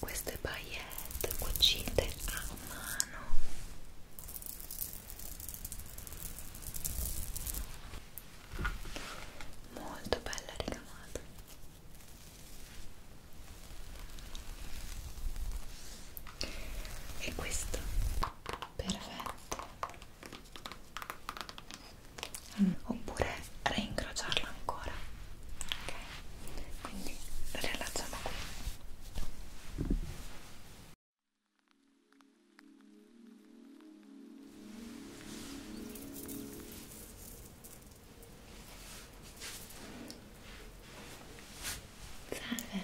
Queste paillette cucite a mano molto bella ricamata e questo perfetto mm. oppure reincrociarla ancora ok quindi la riallacciamo qui Salve,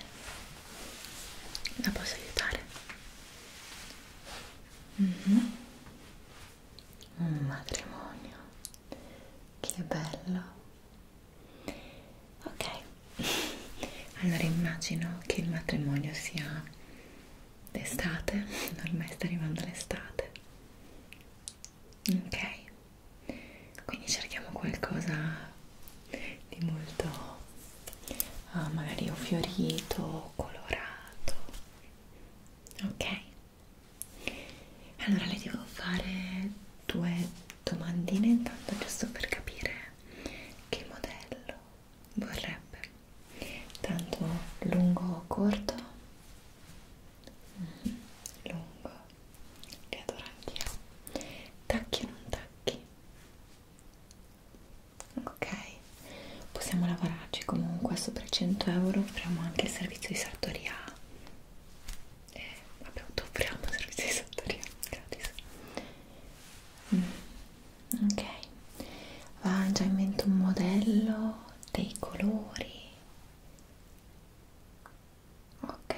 la posso aiutare? Mm -hmm. Un matrimonio, che bello. Ok, allora immagino che il matrimonio sia d'estate, ormai sta arrivando l'estate. Ok, quindi cerchiamo qualcosa di molto uh, magari o fiorito o colorato ok allora le devo fare due domandine intanto giusto per capire che modello vorrebbe tanto lungo o corto mm -hmm. lungo li adoro anch'io tacchi o non tacchi ok possiamo lavorarci comunque sopra 100 euro offriamo anche il servizio di sartoria eh, vabbè offriamo il servizio di sartoria gratis mm, ok va già in mente un modello dei colori ok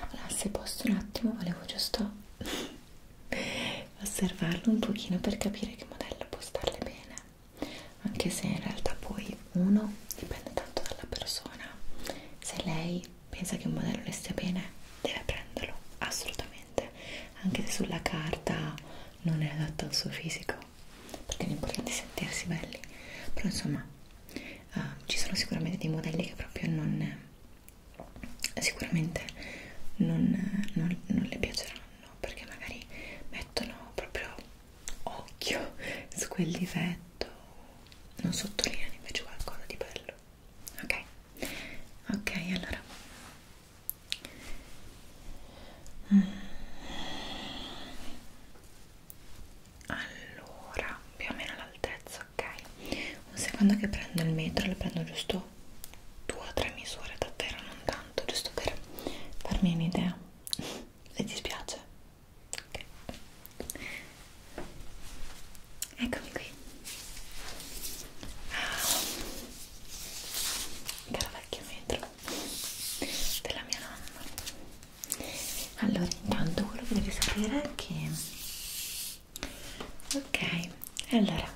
allora se posso un attimo volevo giusto osservarlo un pochino per capire che modello può starle bene anche se in realtà poi uno dipende tanto dalla persona se lei pensa che un modello le stia bene deve prenderlo assolutamente anche se sulla carta non è adatto al suo fisico perché l'importante è sentirsi belli però insomma uh, ci sono sicuramente dei modelli che proprio non sicuramente non, non, non le piaceranno perché magari mettono proprio occhio su quel difetto non sottolineano invece qualcosa di bello ok ok allora allora più o meno all'altezza pizza, ok? Un secondo che prendo il metro, le prendo giusto due o tre misure, davvero non tanto, giusto per farmi un'idea. Se ti spiace, okay. eccomi qui. Ah, caro vecchio metro della mia nonna. Allora, intanto quello che devi sapere è che ok allora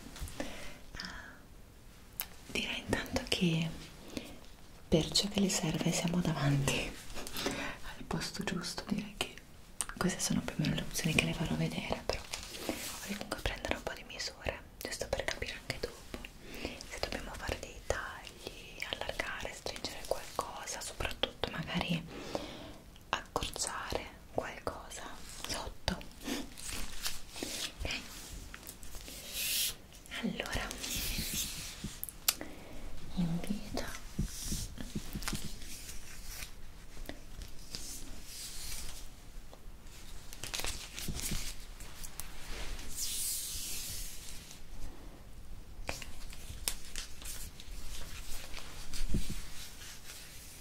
direi intanto che per ciò che le serve siamo davanti al posto giusto direi che queste sono più o meno le opzioni che le farò vedere però vorrei comunque prendere un po' di misure giusto per capire anche dopo se dobbiamo fare dei tagli allargare, stringere qualcosa soprattutto magari accorciare qualcosa sotto ok allora invito Okay.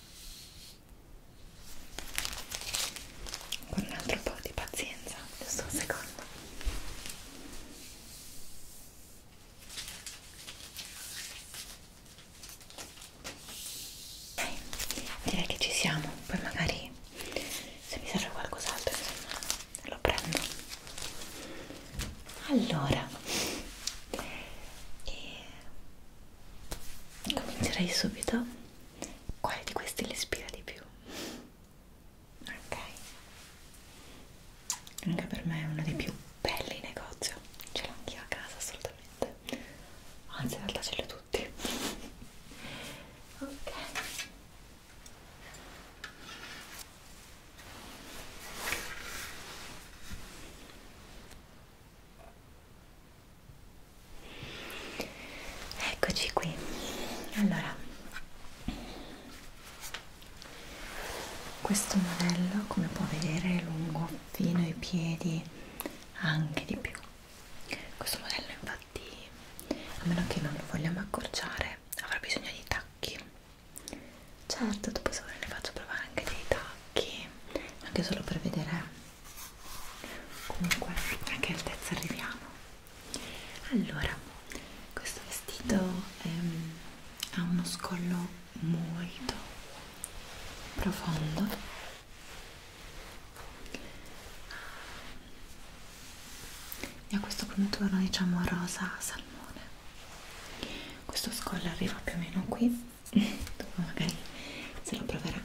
con un altro po' di pazienza giusto un secondo ok direi che ci siamo poi magari se mi serve qualcos'altro insomma lo prendo allora e comincerei subito quale di questi le ispira di più ok anche per me è uno dei più belli in negozio ce l'ho anch'io a casa assolutamente anzi in realtà ce li ho tutti ok Eccoci qui. Allora, questo modello, come può vedere, è lungo fino ai piedi, anche di più. Questo modello, infatti, a meno che non lo vogliamo accorciare, avrà bisogno di tacchi certo dopo se ne faccio provare anche dei tacchi anche solo per vedere comunque a che altezza arriviamo allora questo vestito ehm, ha uno scollo molto profondo e ha questo contorno diciamo rosa salmone questo scollo arriva più o meno qui dopo magari se lo proverà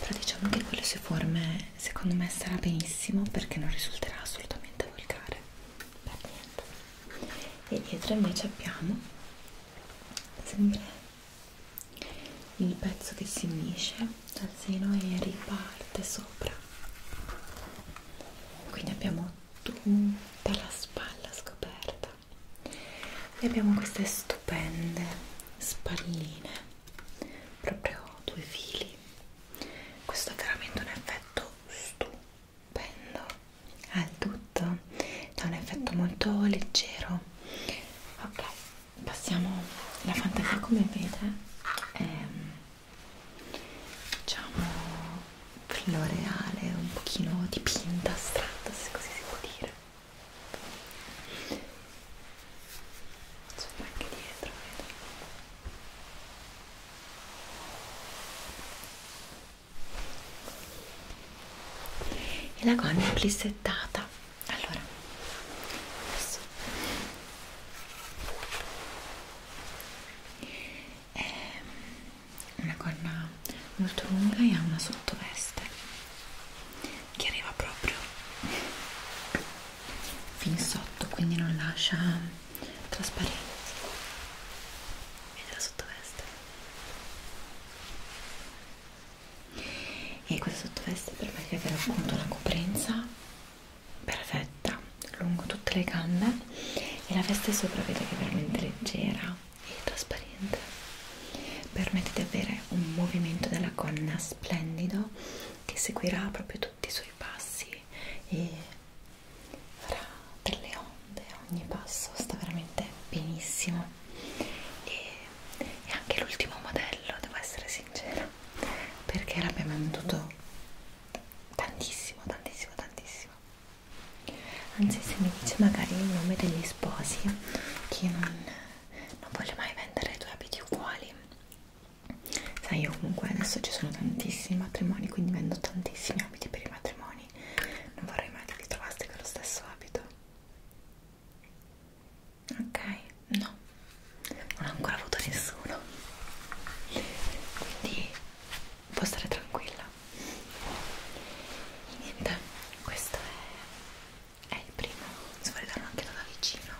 però diciamo che con le sue forme secondo me sarà benissimo perché non risulterà assolutamente volgare per niente e dietro invece abbiamo sempre il pezzo che si unisce dal seno e riparte sopra quindi abbiamo tutta la spalla scoperta e abbiamo queste stupende spalline proprio due fili questo è veramente un effetto stupendo al ah, tutto c'è un effetto molto leggero ok passiamo la fantasia come vede è ehm, diciamo floreale, un pochino dipinta, astratta, se così si può dire. C'è anche dietro, vedo. E la gonna è plissettata. Allora, adesso è una gonna molto lunga e ha una sottoveste che arriva proprio fin sotto quindi non lascia trasparenza vedi la sottoveste e questa sottoveste permette di avere appunto una coprenza perfetta lungo tutte le gambe e la veste sopra vedo che è veramente leggera e trasparente permette di avere un movimento della gonna splendido che seguirà proprio tutti i suoi passi e farà delle onde ogni passo sta veramente benissimo e è anche l'ultimo modello devo essere sincera perché l'abbiamo venduto tantissimo tantissimo tantissimo anzi se mi dice magari il nome degli sposi che non, non voglio mai vendere due abiti uguali sai io comunque adesso ci sono tantissimi matrimoni quindi vendo tantissimi abiti per i matrimoni non vorrei mai che vi trovaste con lo stesso abito ok no non ho ancora avuto nessuno quindi può stare tranquilla e niente questo è, è il primo se vuole darlo anche da vicino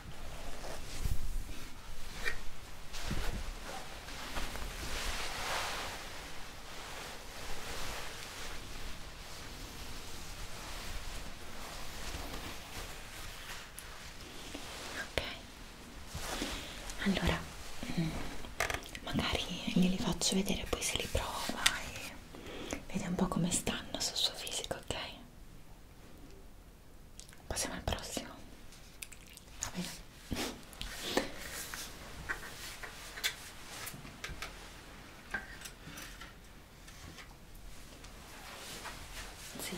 ok allora mm, magari glieli faccio vedere poi se li prova e vede un po' come stanno sul suo fisico ok? passiamo al prossimo va bene? sì,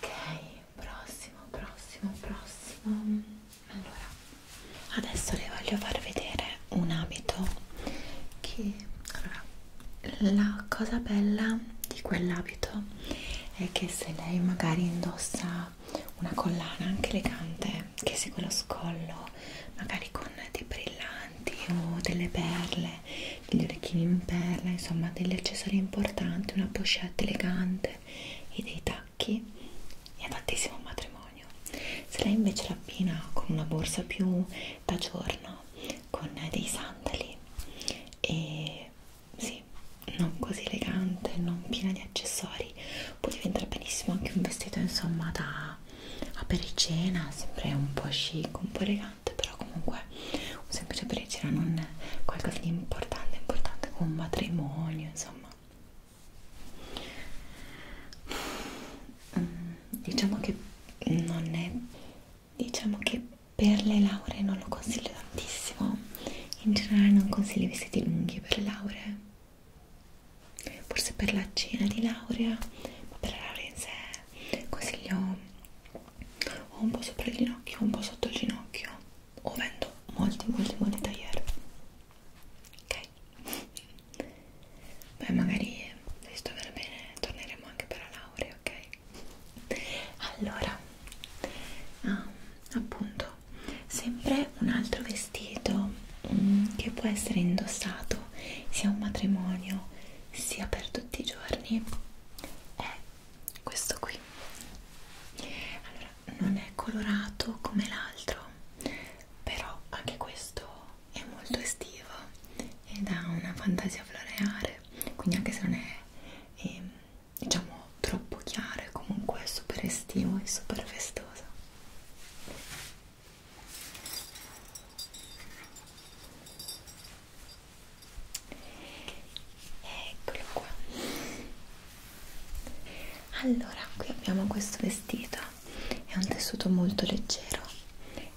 ok prossimo, prossimo, prossimo. Allora, adesso le voglio far vedere un abito che allora, la cosa bella di quell'abito è che se lei magari indossa una collana anche elegante che segue lo scollo, magari con dei brillanti o delle perle, degli orecchini in perla, insomma degli accessori importanti, una pochette elegante punte e dei tacchi è adattissimo al matrimonio se lei invece l'abbina con una borsa più da giorno con dei sandali e sì, non così elegante, non piena di accessori può diventare benissimo anche un vestito insomma da apericena sempre un po' chic, un po' elegante però comunque un semplice apericena non un qualcosa di importante importante come un matrimonio insomma mm, diciamo che non è diciamo che per le lauree non lo consiglio tantissimo in generale non consiglio i vestiti lunghi per le lauree forse per la cena di laurea ma per la laurea in sé consiglio o un po' sopra il ginocchio o un po' sotto il ginocchio o vendo molti molti molti taglieri ok beh magari se sto per bene torneremo anche per la laurea ok allora ah, appunto sempre un altro vestito mm, che può essere indossato sia a un matrimonio sia per tutti i giorni è questo qui allora non è colorato come l'altro però anche questo è molto estivo ed ha una fantasia floreale quindi anche se non è, è ehm, diciamo troppo chiaro è comunque super estivo e super festoso eccolo qua allora qui abbiamo questo vestito è un tessuto molto leggero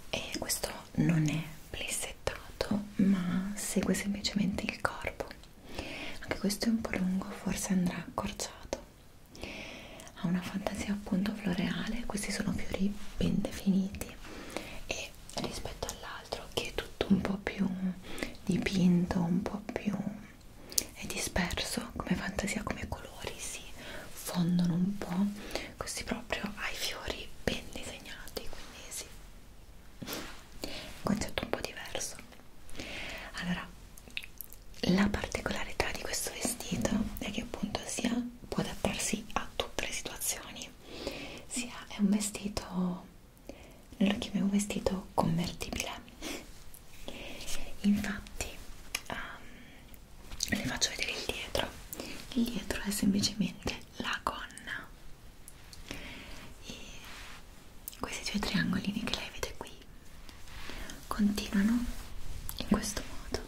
e questo non è plissettato ma segue semplicemente il corpo anche questo è un po' lungo forse andrà accorciato ha una fantasia appunto floreale questi sono fiori ben definiti e rispetto all'altro che è tutto un po' più dipinto un po' più è disperso come fantasia, come colori si fondono un po' così proprio ai fiori ben disegnati quindi sì un concetto un po' diverso allora la particolarità di questo vestito è che appunto sia può adattarsi a tutte le situazioni sia è un vestito nell'occhio mio vestito convertibile infatti um, le faccio vedere il dietro il dietro è semplicemente la gonna e questi due triangolini che lei vede qui continuano in questo modo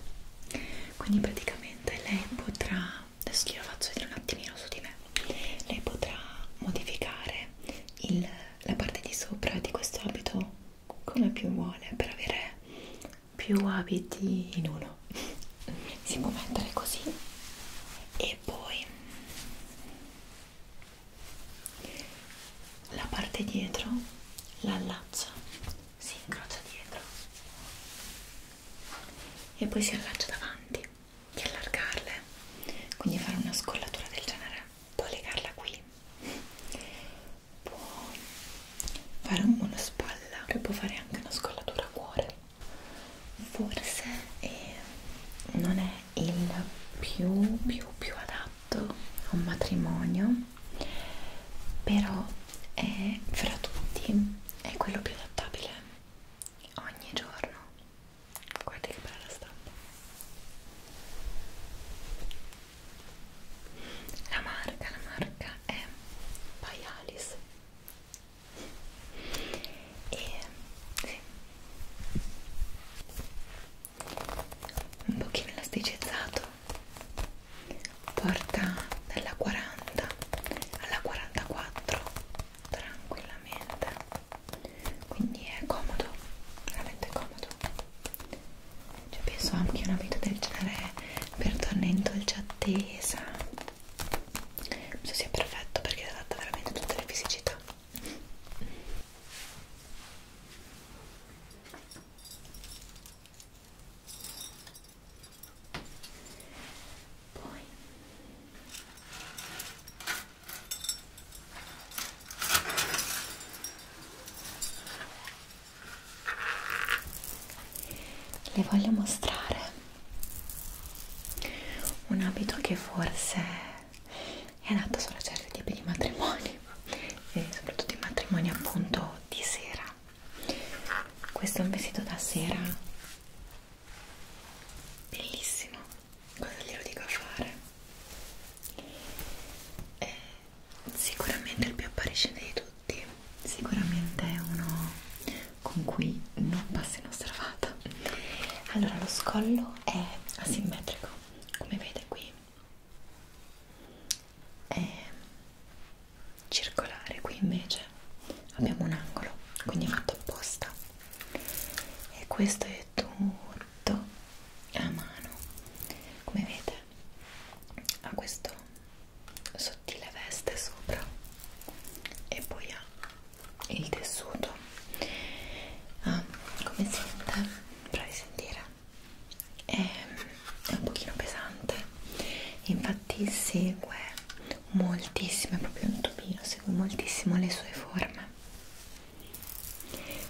quindi praticamente lei potrà adesso glielo faccio vedere un attimino su di me lei potrà modificare il, la parte di sopra di questo abito come più vuole per avere più abiti in uno si può mettere così e poi la parte dietro la allaccia si incrocia dietro e poi si allaccia davanti di allargarle quindi fare una scollatura del genere puoi legarla qui puoi fare un monospalla e puoi fare anche una scollatura a cuore forse eh, non è il più più più adatto a un matrimonio però è fra tutti è quello più adattabile ogni giorno guarda che bella stampa la marca la marca è Paialis e sì. un pochino elasticizzato porta dalla 40 alla 44 tranquillamente quindi è comodo veramente comodo cioè penso anche una vita del genere per tornare in dolce attesa penso sia perfetto perché adatta veramente tutte le fisicità poi le voglio mostrare un abito che forse è adatto solo a certi tipi di matrimoni e soprattutto i matrimoni appunto di sera questo è un vestito da sera bellissimo cosa glielo dico a fare è eh, sicuramente il più appariscente di tutti sicuramente è uno con cui non passi inosservata allora lo scollo è asimmetrico come vede qui è circolare qui invece abbiamo un angolo quindi è fatto apposta e questo è tutto fatto a mano come vedete ha questo sottile veste sopra e poi ha il tessuto ah, come sente? provi a sentire è, è un pochino pesante infatti segue moltissimo è proprio un topino segue moltissimo le sue forme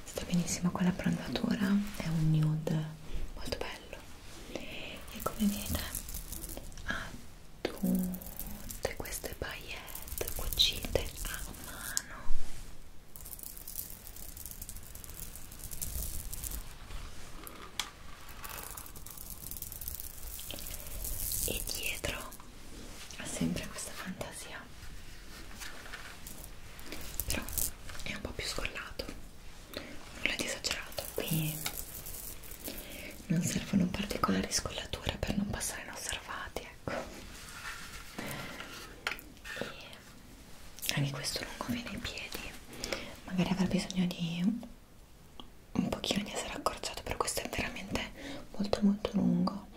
sta benissimo con la prandatura è un nude molto bello e come vede ha tutte queste paillette cucite a mano e dietro ha sempre questa fantasia però è un po' più scollato nulla di esagerato qui non servono particolari scollature per non passare inosservati ecco e anche questo non conviene ai piedi magari avrà bisogno di un pochino di essere accorciato però questo è veramente molto molto lungo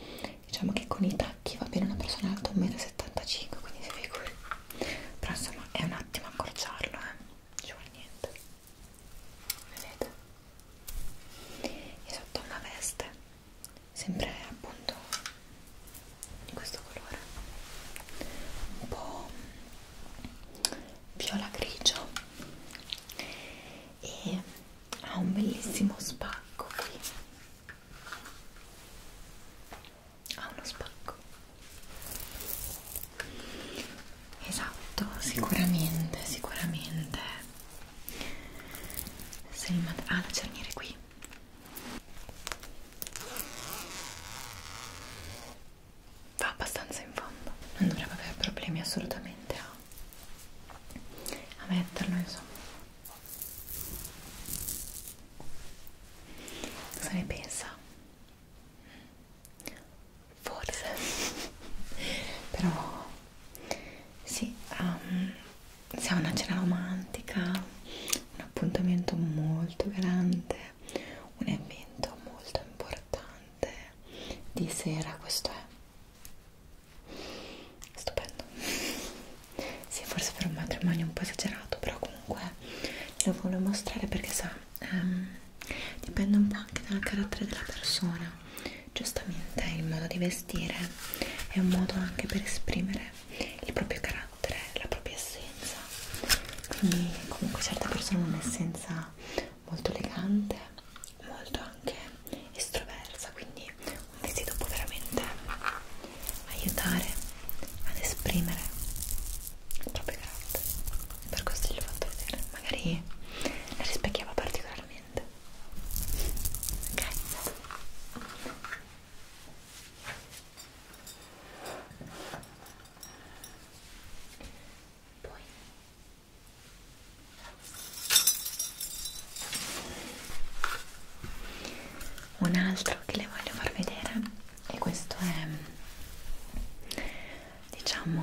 diciamo che con i tacchi va bene una persona alta 1,75 m quindi si figuri però insomma è un attimo accorciarlo eh. ci vuole niente vedete e sotto una veste sempre appunto di questo colore un po' viola grigio e ha un bellissimo spacco qui ha uno spacco esatto sicuramente sicuramente se il mat ah la cerniere qui va abbastanza in fondo non dovrebbe avere problemi assolutamente a, a metterlo insomma Cosa ne pensa? Forse, però sì, um, ehm, siamo una cena romantica, un appuntamento molto grande, un evento molto importante di sera, questo è stupendo sì forse per un matrimonio un po' esagerato però comunque lo voglio mostrare perché sa ehm, dipende un po' anche dal carattere della persona giustamente il modo di vestire è un modo anche per esprimere il proprio carattere la propria essenza quindi comunque certe persone hanno un'essenza molto elegante molto anche estroversa quindi un vestito può veramente aiutare ad esprimere il proprio carattere per questo gli ho fatto vedere magari la rispecchiava particolarmente ok poi un altro che le voglio far vedere e questo è diciamo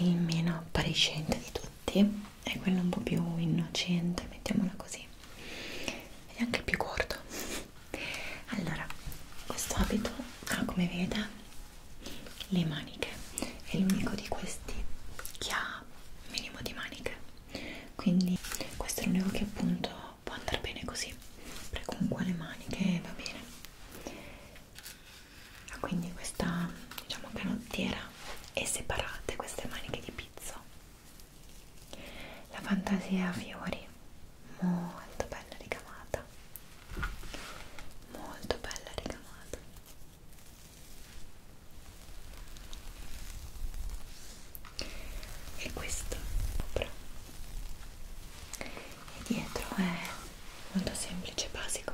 il meno appariscente di tutti è quello un po' più innocente mettiamola così ed è anche più corto allora questo abito ha come veda le maniche è l'unico di questi che ha minimo di maniche quindi questo è l'unico che appunto può andare bene così prego con le maniche va bene ah, quindi questa diciamo canottiera e separate queste maniche di pizzo la fantasia a fiori molto bella ricamata molto bella ricamata e questo sopra e dietro è molto semplice basico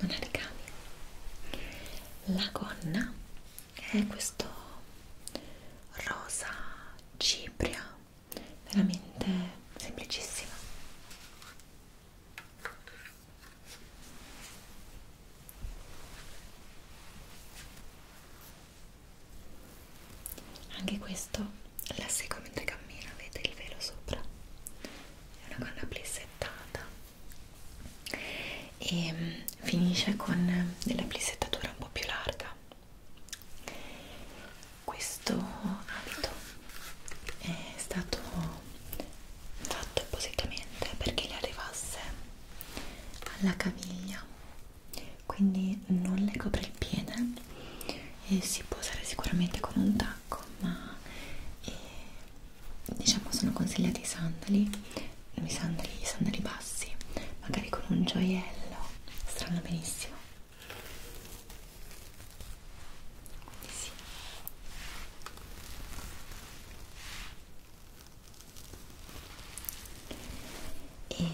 non ha ricami la gonna è questo rosa cipria veramente semplicissima anche questo la seguo mentre cammina, avete il velo sopra, è una gonna plissettata e mm, finisce con della plissettatura un po' più larga. Questo abito è stato fatto appositamente perché gli arrivasse alla caviglia quindi non le copre il piede e si può usare sicuramente con un tacco ma eh, diciamo sono consigliati i sandali i sandali, i sandali bassi magari con un gioiello strano benissimo sì e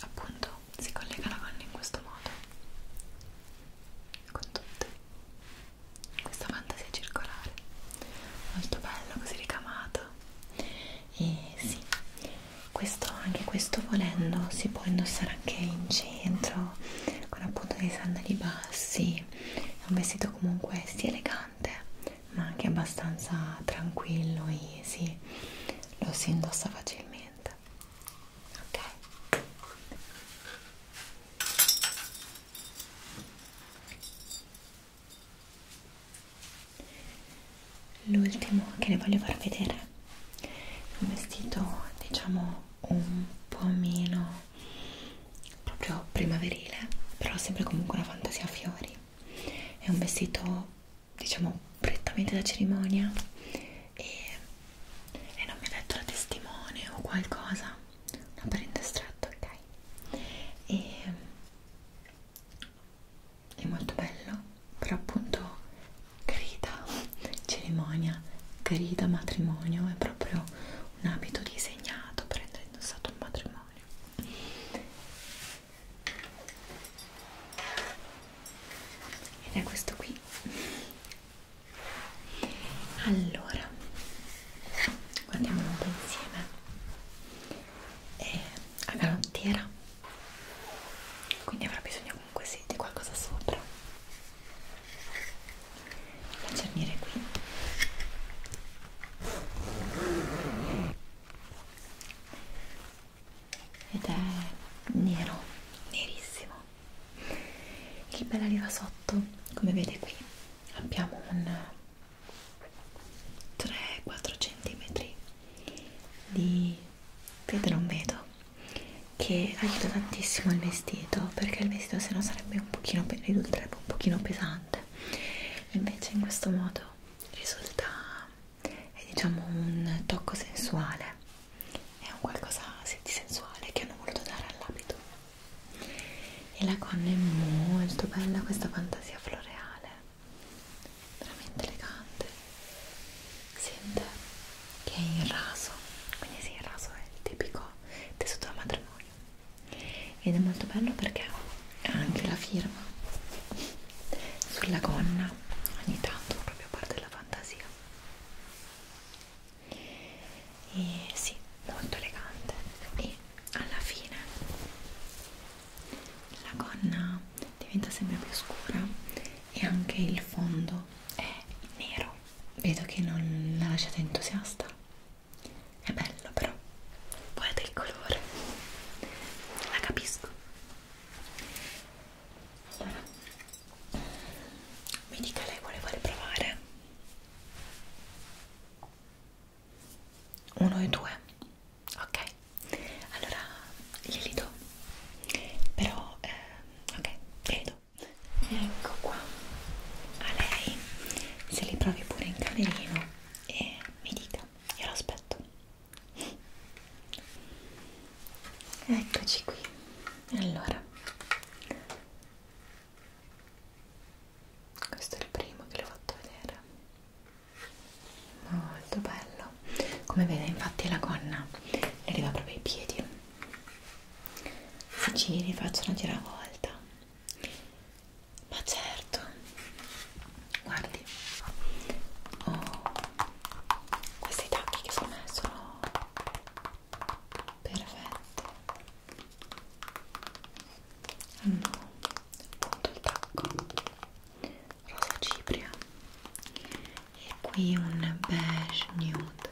appunto si collega la gonna in questo modo con tutte questa fantasia circolare molto bello così ricamato e sì questo anche questo volendo si può indossare anche in centro con appunto dei sandali bassi è un vestito comunque sì elegante ma anche abbastanza tranquillo, easy, lo si indossa facilmente. Ok. L'ultimo che le voglio far vedere è un vestito, diciamo, un po' meno proprio primaverile, però sempre comunque una fantasia a fiori. È un vestito, diciamo, prettamente da cerimonia e, e non mi ha detto la testimone o qualcosa, una parente stretta, ok? E, è molto bello, però appunto grida cerimonia, grida matrimonio, è proprio un abito disegnato per essere indossato un matrimonio ed è questo qui allora guardiamolo un po' insieme è a galottiera quindi avrà bisogno comunque sì di qualcosa sopra la cerniere qui ed è nero, nerissimo. Il bel arriva sotto, come vede qui, abbiamo un 3-4 cm di vedo non vedo che aiuta tantissimo il vestito perché il vestito se no sarebbe un pochino ridurrebbe un pochino pesante invece in questo modo risulta è diciamo un tocco sensuale è un qualcosa di sensuale che hanno voluto dare all'abito e la gonna è molto bella questa fantasia floreale veramente elegante sente che è in raso quindi sì il raso è il tipico tessuto da matrimonio ed è molto bello perché ha anche la firma sulla gonna ogni tanto proprio a parte la fantasia e sì molto elegante e alla fine la gonna diventa sempre più scura e anche il fondo è nero vedo che non la lasciate entusiasta è bello però, poi ha del colore, la capisco. Allora, mi dica lei quale vuole provare? Uno e due, ok. Allora glieli do, però eh, ok, glieli do. Ecco qua, a lei se li provi pure in camerino e mi dica, io lo aspetto. Eccoci qui. Allora, questo è il primo che l'ho fatto vedere. Molto bello. Come vede, infatti, la gonna le arriva proprio ai piedi. Se giri, faccio una giravolta ma certo, guardi, oh, questi tacchi che sono me sono perfetti. Hanno appunto il tacco rosa cipria e qui un beige nude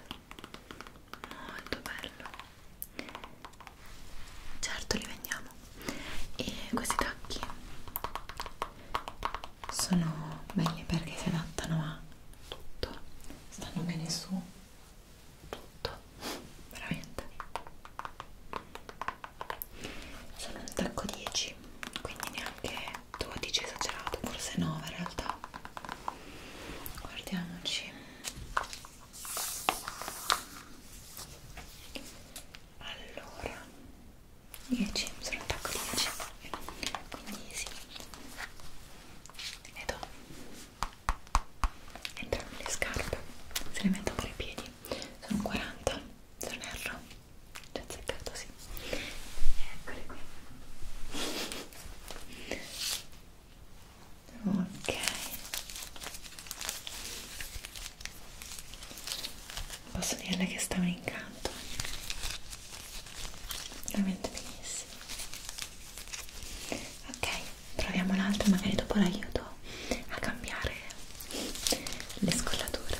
molto bello certo li vendiamo e questi tacchi sono belli perché si adattano a tutto stanno bene su tutto veramente sono un tacco 10 quindi neanche 12 esagerato forse 9 in realtà guardiamoci allora 10 sono attacco 10 quindi sì le do entrambe le scarpe se le metto pure i piedi sono 40 se non erro già azzeccato sì eccole qui ok posso dirle che sta un incanto veramente benissimo ok proviamo l'altro magari dopo l'aiuto a cambiare le scollature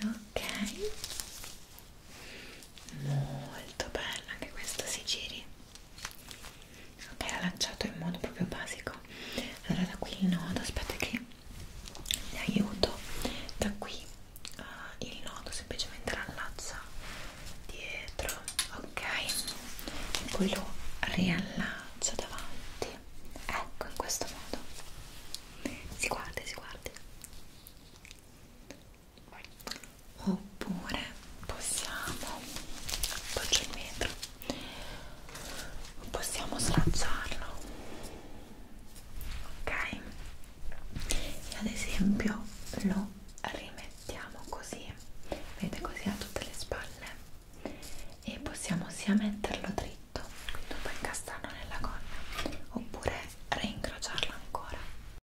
ok molto bella anche questo si giri ok l'ha lanciato in modo proprio basico allora da qui il nodo aspetta che vi aiuto da qui uh, il nodo semplicemente l'allaccia dietro ok e poi lo riallaccio davanti ecco in questo modo si guardi si guardi oppure possiamo appoggio il metro possiamo slacciarlo ok e ad esempio lo rimettiamo così vedete così a tutte le spalle e possiamo sia metterlo dritto quindi un po' incastrarlo nella gonna oppure reincrociarlo ancora